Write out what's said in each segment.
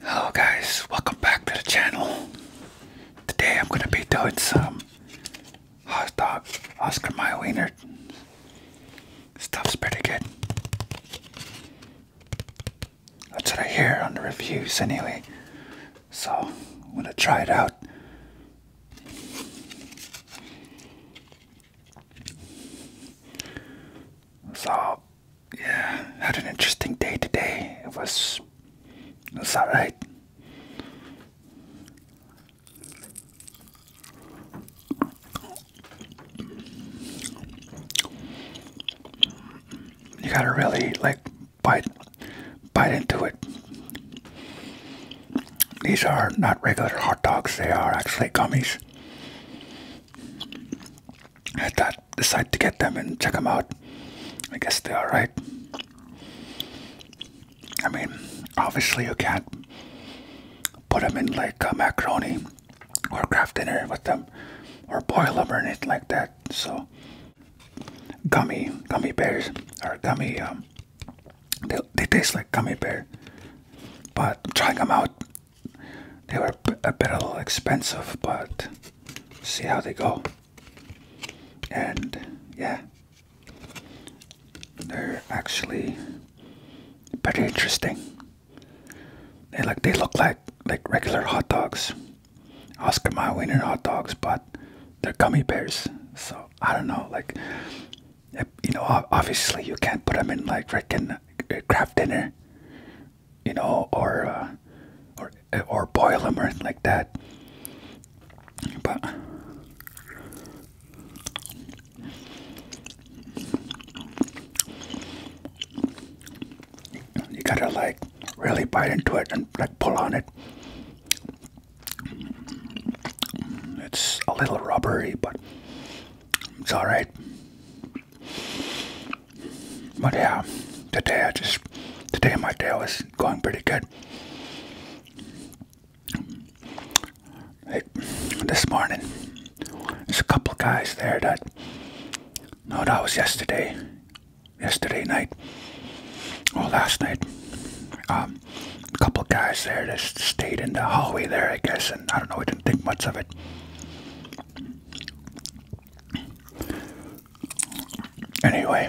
Hello guys, welcome back to the channel. Today I'm going to be doing some hot dog Oscar Mayer wiener. Stuff's pretty good. That's what I hear on the reviews anyway. So I'm going to try it out. So yeah, had an interesting day today. It was, it was alright. You gotta really like bite, bite into it. These are not regular hot dogs; they are actually gummies. I thought decide to get them and check them out. I guess they're alright. I mean, obviously you can't put them in like a macaroni or craft dinner with them or boil them or anything like that. So gummy, gummy bears or gummy, um, they, they taste like gummy bear. But I'm trying them out they were a bit a little expensive, but see how they go. And yeah, they're actually pretty interesting. They like they look like like regular hot dogs, Oscar Mayer wiener hot dogs, but they're gummy bears. So I don't know, like you know, obviously you can't put them in like freaking uh, craft dinner you know, or uh, or or boil them or anything like that. But you gotta like really bite into it and like pull on it. It's a little rubbery, but it's all right. My day. today just today my day was going pretty good. this morning, there's a couple guys there that no, that was yesterday, yesterday night, or last night. Um, a couple guys there just stayed in the hallway there, I guess, and I don't know, we didn't think much of it. Anyway,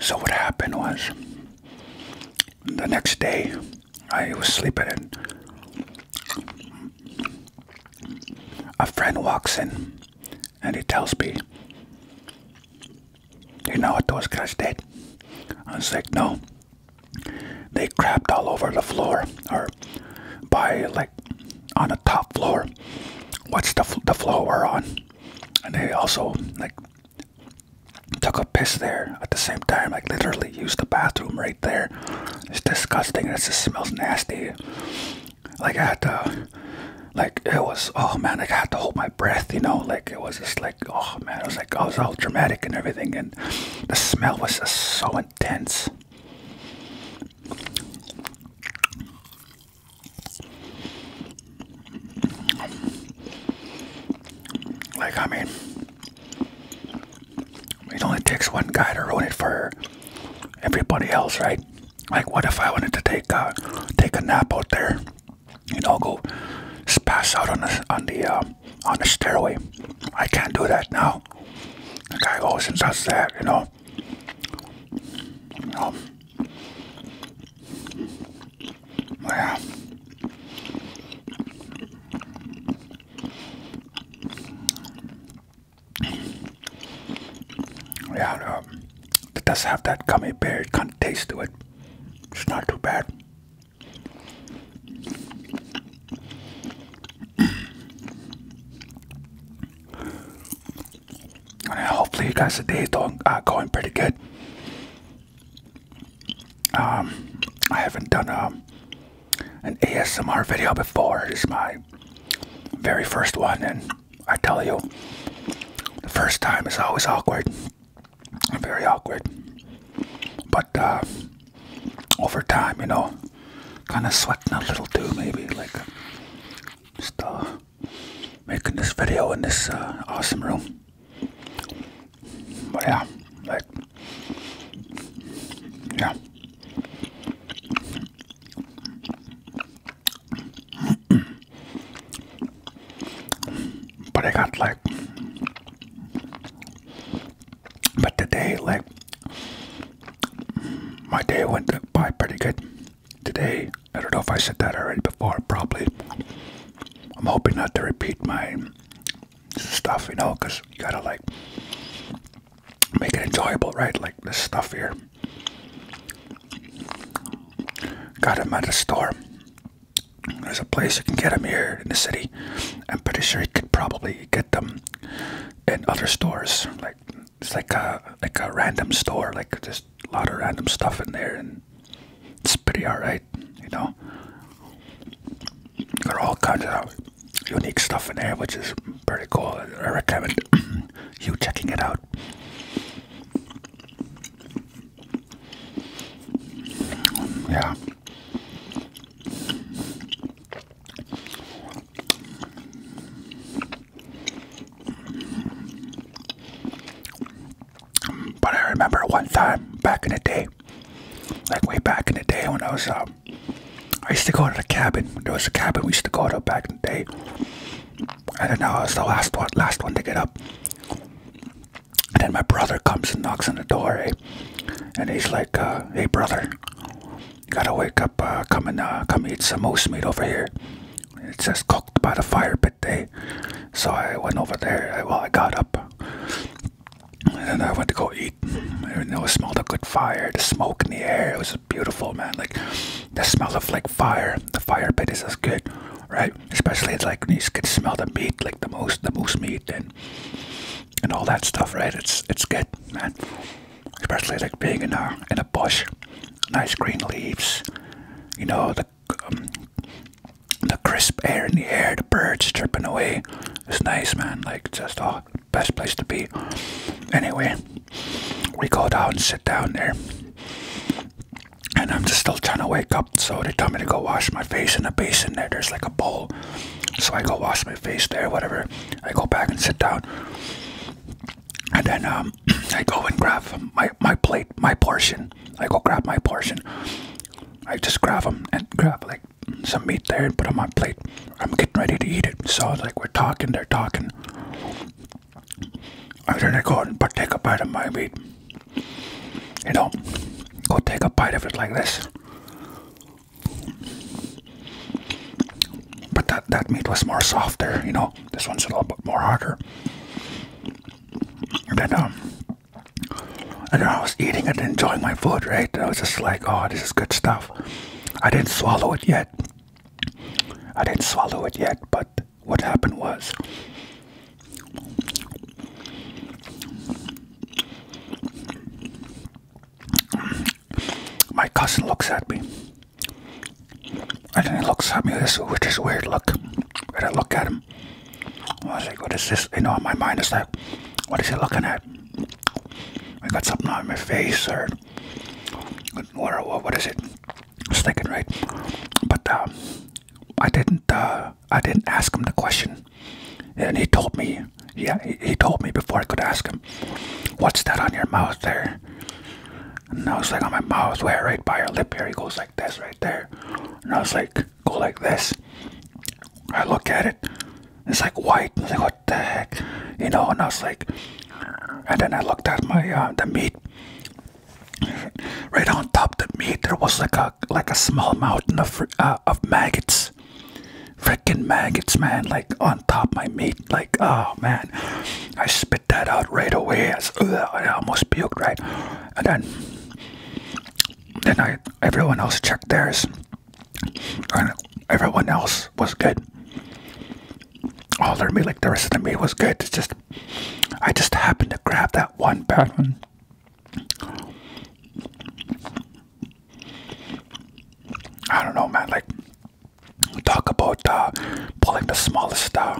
so what happened was the next day I was sleeping and a friend walks in and he tells me, You know what those guys did? I was like, No. They crapped all over the floor or by like on the top floor. What's the the floor we're on? And they also like took a piss there at the same time. Like literally used the bathroom right there. It's disgusting. It just smells nasty. Like I had to, like it was. Oh man, like I had to hold my breath. You know, like it was just like oh man, it was like I was all dramatic and everything, and the smell was just so intense. Like, I mean, it only takes one guy to ruin it for everybody else, right? Like, what if I wanted to take a take a nap out there? You know, go pass out on the on the uh, on the stairway. I can't do that now know. The guy always does that, you know. You know. Yeah. Yeah, it does have that gummy bear kind of taste to it. It's not too bad. Uh, hopefully you guys today's doing going pretty good. Um, I haven't done um, an ASMR video before. it's my very first one, and I tell you, the first time is always awkward, very awkward. But uh, over time, you know, kind of sweating a little too, maybe like just uh, making this video in this uh, awesome room. But yeah, like yeah. but I got like, but today like. My day went by pretty good today. I don't know if I said that already before, probably. I'm hoping not to repeat my stuff, you know, because you gotta like make it enjoyable, right? Like this stuff here. Got him at a store. There's a place you can get him here in the city. I'm pretty sure you could probably get them and other stores. Like it's like a like a random store. Like just a lot of random stuff in there, and it's pretty alright. You know, got all kinds of unique stuff in there, which is pretty cool. I recommend you checking it out. Yeah. But I remember one time back in the day, like way back in the day when I was, uh, I used to go to the cabin. There was a cabin we used to go to back in the day. And then I was the last one, last one to get up. And then my brother comes and knocks on the door, eh? and he's like, uh, "Hey, brother, you gotta wake up. Uh, come and uh, come eat some moose meat over here. It says cooked by the fire pit day." So I went over there. well, I got up, and then I went to go eat. And it smelled a good fire, the smoke in the air. It was beautiful, man. Like the smell of like fire. The fire pit is as good, right? Especially it's like you can smell the meat, like the moose, the moose meat, and and all that stuff, right? It's it's good, man. Especially like being in a in a bush, nice green leaves, you know the um, the crisp air in the air, the birds chirping away. It's nice, man. Like just the oh, best place to be. Anyway, we go down and sit down there. And I'm just still trying to wake up, so they tell me to go wash my face in a basin there. There's like a bowl so I go wash my face there, whatever. I go back and sit down. And then um, I go and grab my, my plate, my portion. I go grab my portion. I just grab them and grab like some meat there and put on my plate. I'm getting ready to eat it. So like we're talking, they're talking. And then I go and but take a bite of my meat. You know, go take a bite of it like this. But that, that meat was more softer, you know. This one's a little bit more harder. And then, um, and I was eating and enjoying my food, right? I was just like, oh, this is good stuff. I didn't swallow it yet. I didn't swallow it yet, but what happened was my cousin looks at me. And then he looks at me this with this weird look. And I look at him. I was like, what is this? You know, my mind is like, what is he looking at? I got something on my face or what, what, what is it? Sticking, right? But um, I didn't uh, I didn't ask him the question, and he told me, yeah, he, told me before I could ask him, what's that on your mouth there? And I was like, on my mouth, where, right by your lip here, he goes like this right there. And I was like, go like this. I look at it, it's like white, I was like, what the heck, you know, and I was like, and then I looked at my, uh, the meat, right on top the meat, there was like a, like a small mountain of uh, of maggots, freaking maggots, man! Like on top my meat, like oh man, I spit that out right away. I almost puked, right? And then, then I everyone else checked theirs, and everyone else was good. All their meat, like the rest of the meat, was good. just I just happened to grab that one bad one. I don't know, man. Like, talk about uh, pulling the smallest, uh,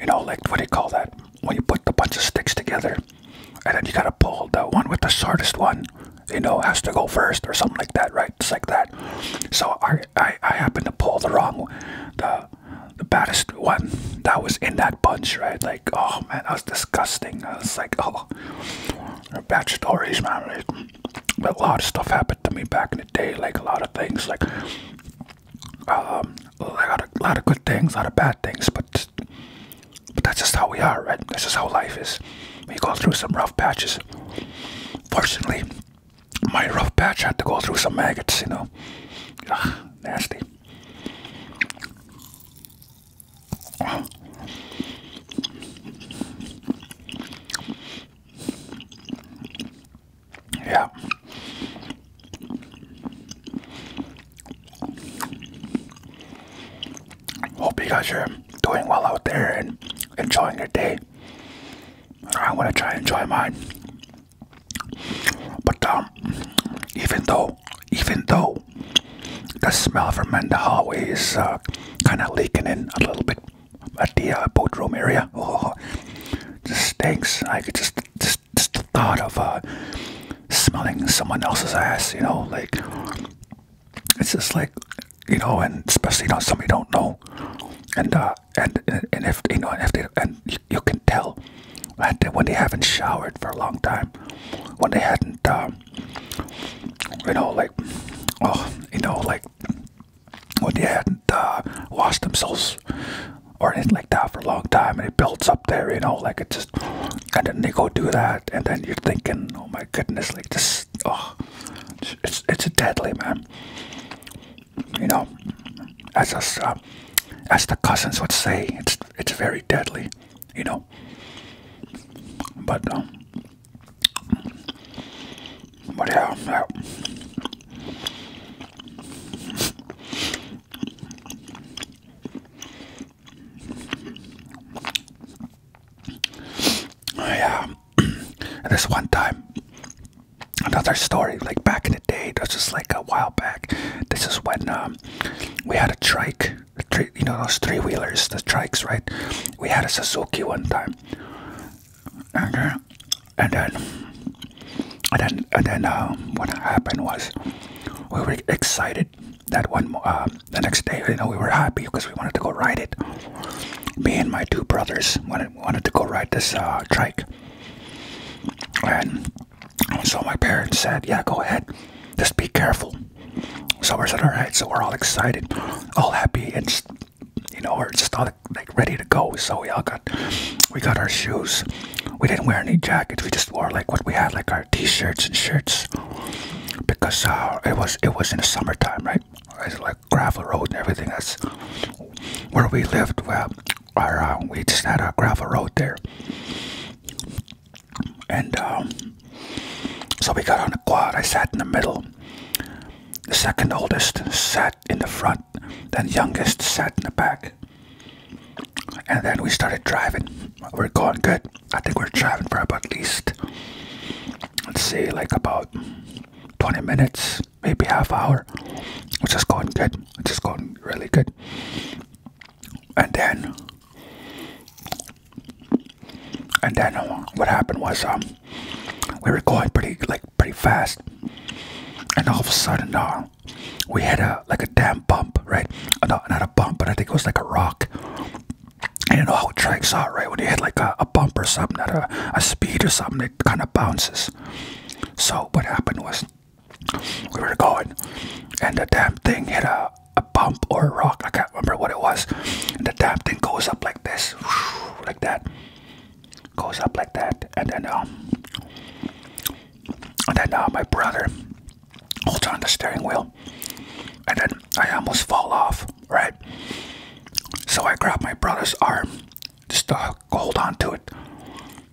you know, like what do you call that? When you put a bunch of sticks together, and then you gotta pull the one with the shortest one, you know, has to go first or something like that, right? It's like that. So I, I, I happened to pull the wrong, the, the baddest one that was in that bunch, right? Like oh man, that was disgusting. I was like, oh, bad stories, man. but a lot of stuff happened to me back in the day. Like a lot of things, like um, a lot of, lot of good things, a lot of bad things. But but that's just how we are, right? That's just how life is. We go through some rough patches. Fortunately, my rough patch had to go through some maggots. You know, nasty. Yeah. Hope you guys are doing well out there and enjoying your day. I'm gonna try and enjoy mine. But um even though even though the smell from in the hallway is uh, kind of leaking in a little bit at the uh, boat room area. Oh, just stinks. I could just, just, the thought of uh, smelling someone else's ass, you know, like it's just like, you know, and especially not somebody you don't know, and uh, and and if you know, if and you can tell when they haven't showered for a long time, when they hadn't, um, you know, like, oh, you know, like, when they hadn't uh, washed themselves or anything like that for a long time, and it builds up there, you know, like it just, and then they go do that, and then you're thinking, oh my goodness, like this, oh, it's it's deadly, man. You know, as us, uh, as the cousins would say, it's it's very deadly, you know. But um, but yeah, yeah. Yeah, this one time, another story. Like back in the day, that's just like a while back. This is when um, we had a trike, you know those three wheelers, the trikes, right? We had a Suzuki one time, and uh, then and then and then uh, what happened was we were excited that one uh, the next day. You know, we were happy because we wanted to go ride it. Me and my two brothers wanted wanted to go ride this trike, and and so my parents said, Yeah, go ahead. Just be careful. So I said, All right. So we're all excited, all happy, and you know, we're just all like ready to go. So we all got, we got our shoes. We didn't wear any jackets. We just wore like what we had, like our t-shirts and shirts, because uh, it was it was in the summertime, right? It's like gravel road and everything. That's where we lived. Well, uh, we just had a gravel road there. And um, so we got on the quad. I sat in the middle. The second oldest sat in the front. Then youngest sat in the back. And then we started driving. We're going good. I think we're driving for about at least, let's see, like about 20 minutes, maybe half hour. Which just going good. Which just going really good and then and then uh, what happened was um we were going pretty like pretty fast and all of a sudden uh, we hit a like a damn bump right uh, not a bump but i think it was like a rock I don't know how tracks are right when you hit like a, a bump or something at a, a speed or something it kind of bounces so what happened was we were going, and the damn thing hit a, bump or a rock. I can't remember what it was. And the damn thing goes up like this, like that, goes up like that, and then um, and then uh, my brother holds on the steering wheel, and then I almost fall off. Right, so I grab my brother's arm just to hold on to it.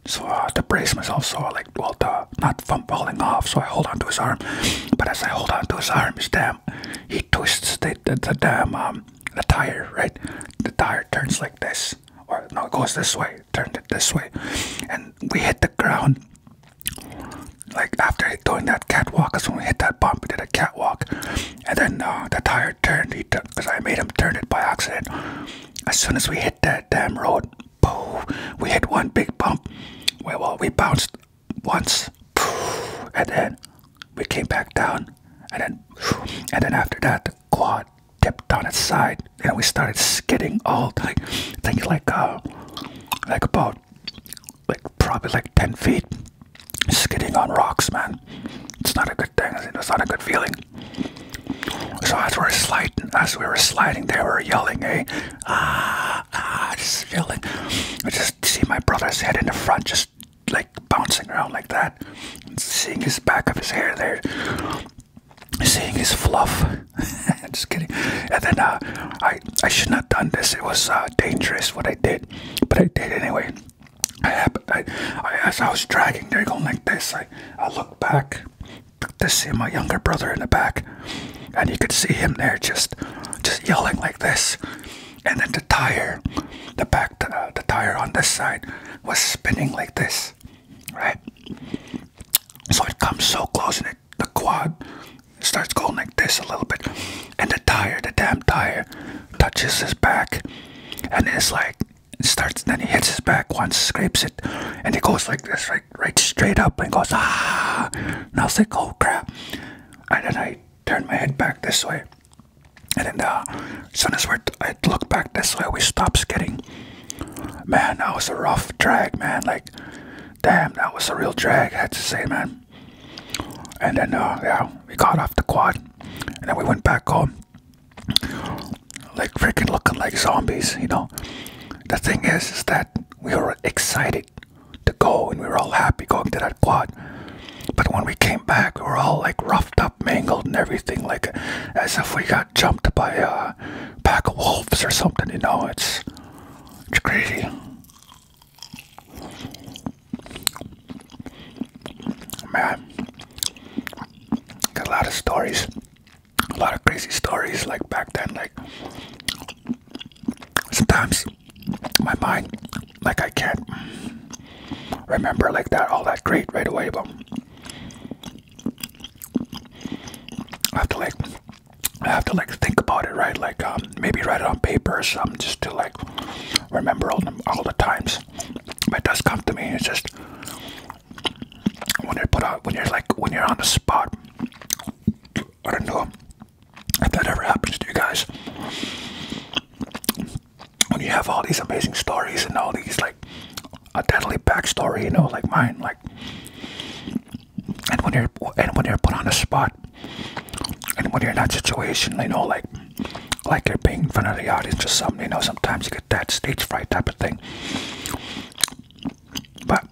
So uh, to brace myself, so I like, well, not from falling off, so I hold onto his arm. But as I hold onto his arm, his damn, he twists the, damn, um, the tire, right? The tire turns like this, or no, it goes this way, turned it this way. And we hit the ground. Like after doing that catwalk, because when we hit that bump, we did a catwalk. And then uh, the tire turned, because I made him turn it by accident. As soon as we hit that damn road, we hit one big bump. Well, we bounced once, and then we came back down, and then, and then after that, the quad tipped on its side, and we started skidding all like, I like, a like about, like probably like ten feet, skidding on rocks, man. It's not a good thing. It's not a good feeling. So as we were sliding, as we were sliding, they were yelling, "Hey, ah, ah!" Just yelling. I just see my brother's head in the front, just like bouncing around like that, seeing his back of his hair there, seeing his fluff. just kidding. And then uh, I I shouldn't have done this. It was uh, dangerous what I did, but I did anyway. I, as I was dragging, they're going like this. I, I looked back, to see my younger brother in the back, and you could see him there just, just yelling like this. And then the tire, the back, uh, the tire on this side was spinning like this, right? So it comes so close, and it, the quad starts going like this a little bit, and the tire, the damn tire, touches his back, and it's like and starts then he hits his back once, scrapes it, and he goes like this, right right straight up and goes ah and I was like, oh crap. And then I turned my head back this way. And then uh, as soon as we're I looked back this way, we stopped skidding. Man, that was a rough drag, man. Like, damn, that was a real drag, had to say, man. And then, uh, yeah, we got off the quad. And then we went back home like freaking looking like zombies, you know. The thing is, is that we were excited to go and we were all happy going to that quad. But when we came back, we were all like roughed up, mangled, and everything, like as if we got jumped by a pack of wolves or something. You know, it's it's crazy. Man, got a lot of stories a lot of crazy stories like back then like sometimes my mind like i can't remember like that all that great right away but i have to like i have to like think about it right like um, maybe write it on paper or something just to like remember all the, times but it does come to me it's just when you're put on, when you're like when you're on the spot. I don't know if that ever happens to you guys. When you have all these amazing stories and all these like a deadly backstory, you know, like mine, like and when you're and when you're put on the spot and when you're in that situation, you know, like like you're being in front of the audience or something, you know, sometimes you get that stage fright type of thing. But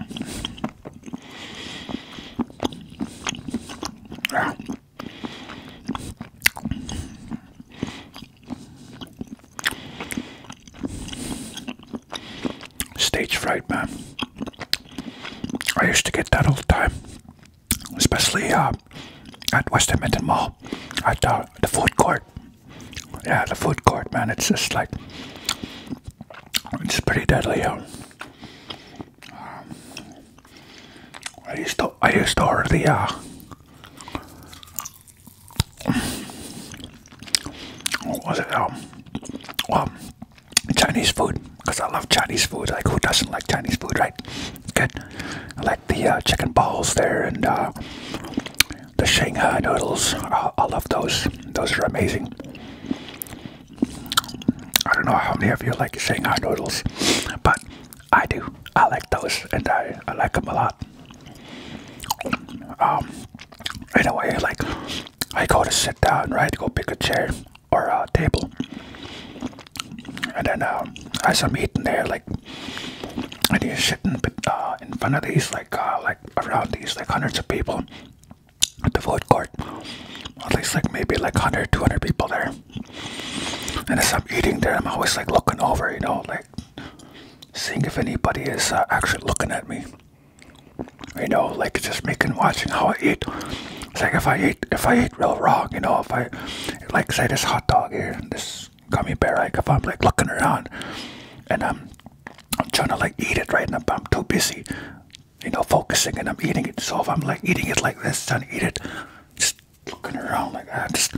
Stage fright, man. I used to get that all the time, especially uh, at West Edmonton Mall, at uh, the food court yeah, the food court, man, it's just like it's pretty deadly out. Um, I used to I used to order the uh, what was it um, um Chinese food because I love Chinese food. Like who doesn't like Chinese food, right? Good. I like the uh, chicken balls there and uh, the Shanghai noodles, I love those. Those are amazing. I don't know how many of you like Shanghai noodles, but I do. I like those, and I, I like them a lot. Um, anyway, like I go to sit down, right? Go pick a chair or a table, and then um, as I'm eating there, like and he's sitting uh, in front of these, like, uh, like around these, like hundreds of people at the food court. At least, like, maybe like 100, 200 people there. And as I'm eating there, I'm always like looking over, you know, like seeing if anybody is uh, actually looking at me. You know, like just me and watching how I eat. It's like if I eat, if I eat real wrong, you know, if I, like, say this hot dog here, this gummy bear. Like if I'm like looking around and I'm I'm trying to like eat it right, and I'm, I'm too busy, you know, focusing and I'm eating it. So if I'm like eating it like this, trying to eat it, just looking around like that, just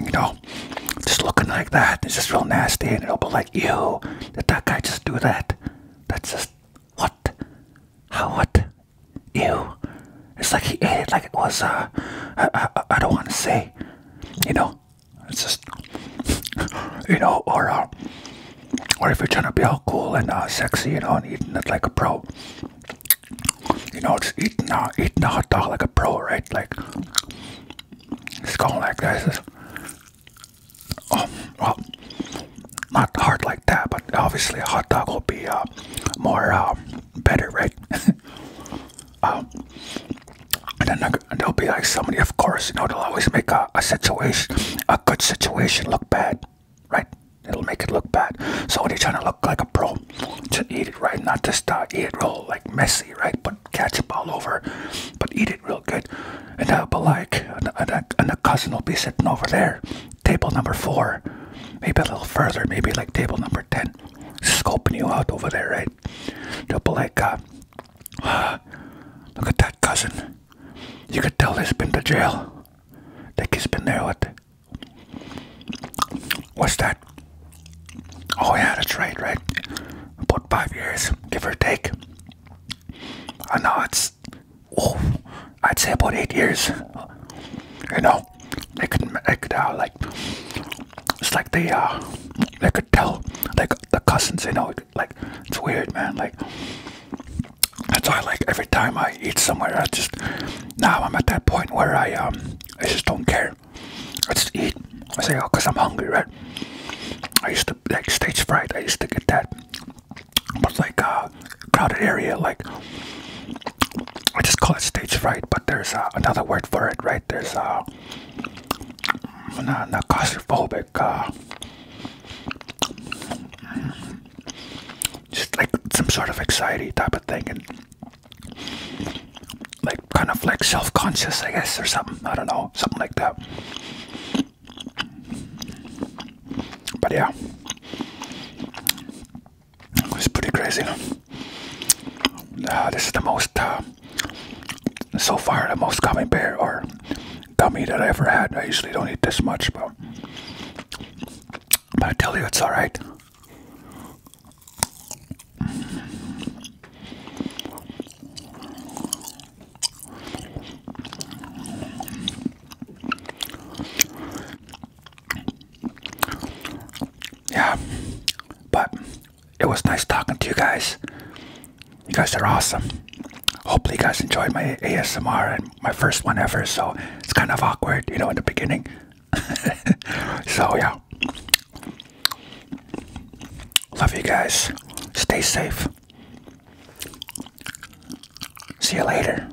you know, just looking like that. It's just real nasty, and it'll be like, you did that guy just do that? That's just what? How what? You, It's like he ate eh, it like it was, uh, I, I, I don't want to say, you know, it's just, you know, or, uh, or if you're trying to be all cool and uh, sexy, you know, and eating it like a pro, you know, it's eating, uh, eating a hot dog like a pro, right? Like, it's going like this. oh, not hard like that, but obviously a hot dog will be uh, more, better, right? um, then uh, there'll be like somebody, of course, you know, they'll always make a, a situation, a good situation look bad, right? It'll make it look bad. So they're trying to look like a pro to eat it right, not just start uh, eat it real like messy, right? But ketchup all over, but eat it real good. And that'll uh, be like, and, and, and the cousin will be sitting over there, table number four, maybe a little further, maybe like table number ten scoping you out over there, right? they like, uh, look at that cousin. You could tell he's been to jail. That he's been there with. What's that? Oh, yeah, that's right, right? About five years, give or take. I know it's. Oh, I'd say about eight years. You know, know they could they could uh, like it's like they uh they could tell like the cousins you know like it's weird man like that's why like every time I eat somewhere I just now I'm at that point where I um I just don't care I just eat I say oh cause I'm hungry right I used to like stage fright I used to get that but like uh crowded area like I just call it stage fright, but there's uh, another word for it, right? There's uh, not, not claustrophobic, uh, just like some sort of anxiety type of thing, and like kind of like self conscious, I guess, or something. I don't know, something like that. But yeah. It's pretty crazy. Uh, this is the most, uh, so far, the most gummy bear or gummy that I ever had. I usually don't eat this much, but, but I tell you, it's alright. Yeah, but it was nice talking to you guys. You guys are awesome. Hopefully, you guys enjoyed my ASMR and my first one ever. So it's kind of awkward, you know, in the beginning. so, yeah. Love you guys. Stay safe. See you later.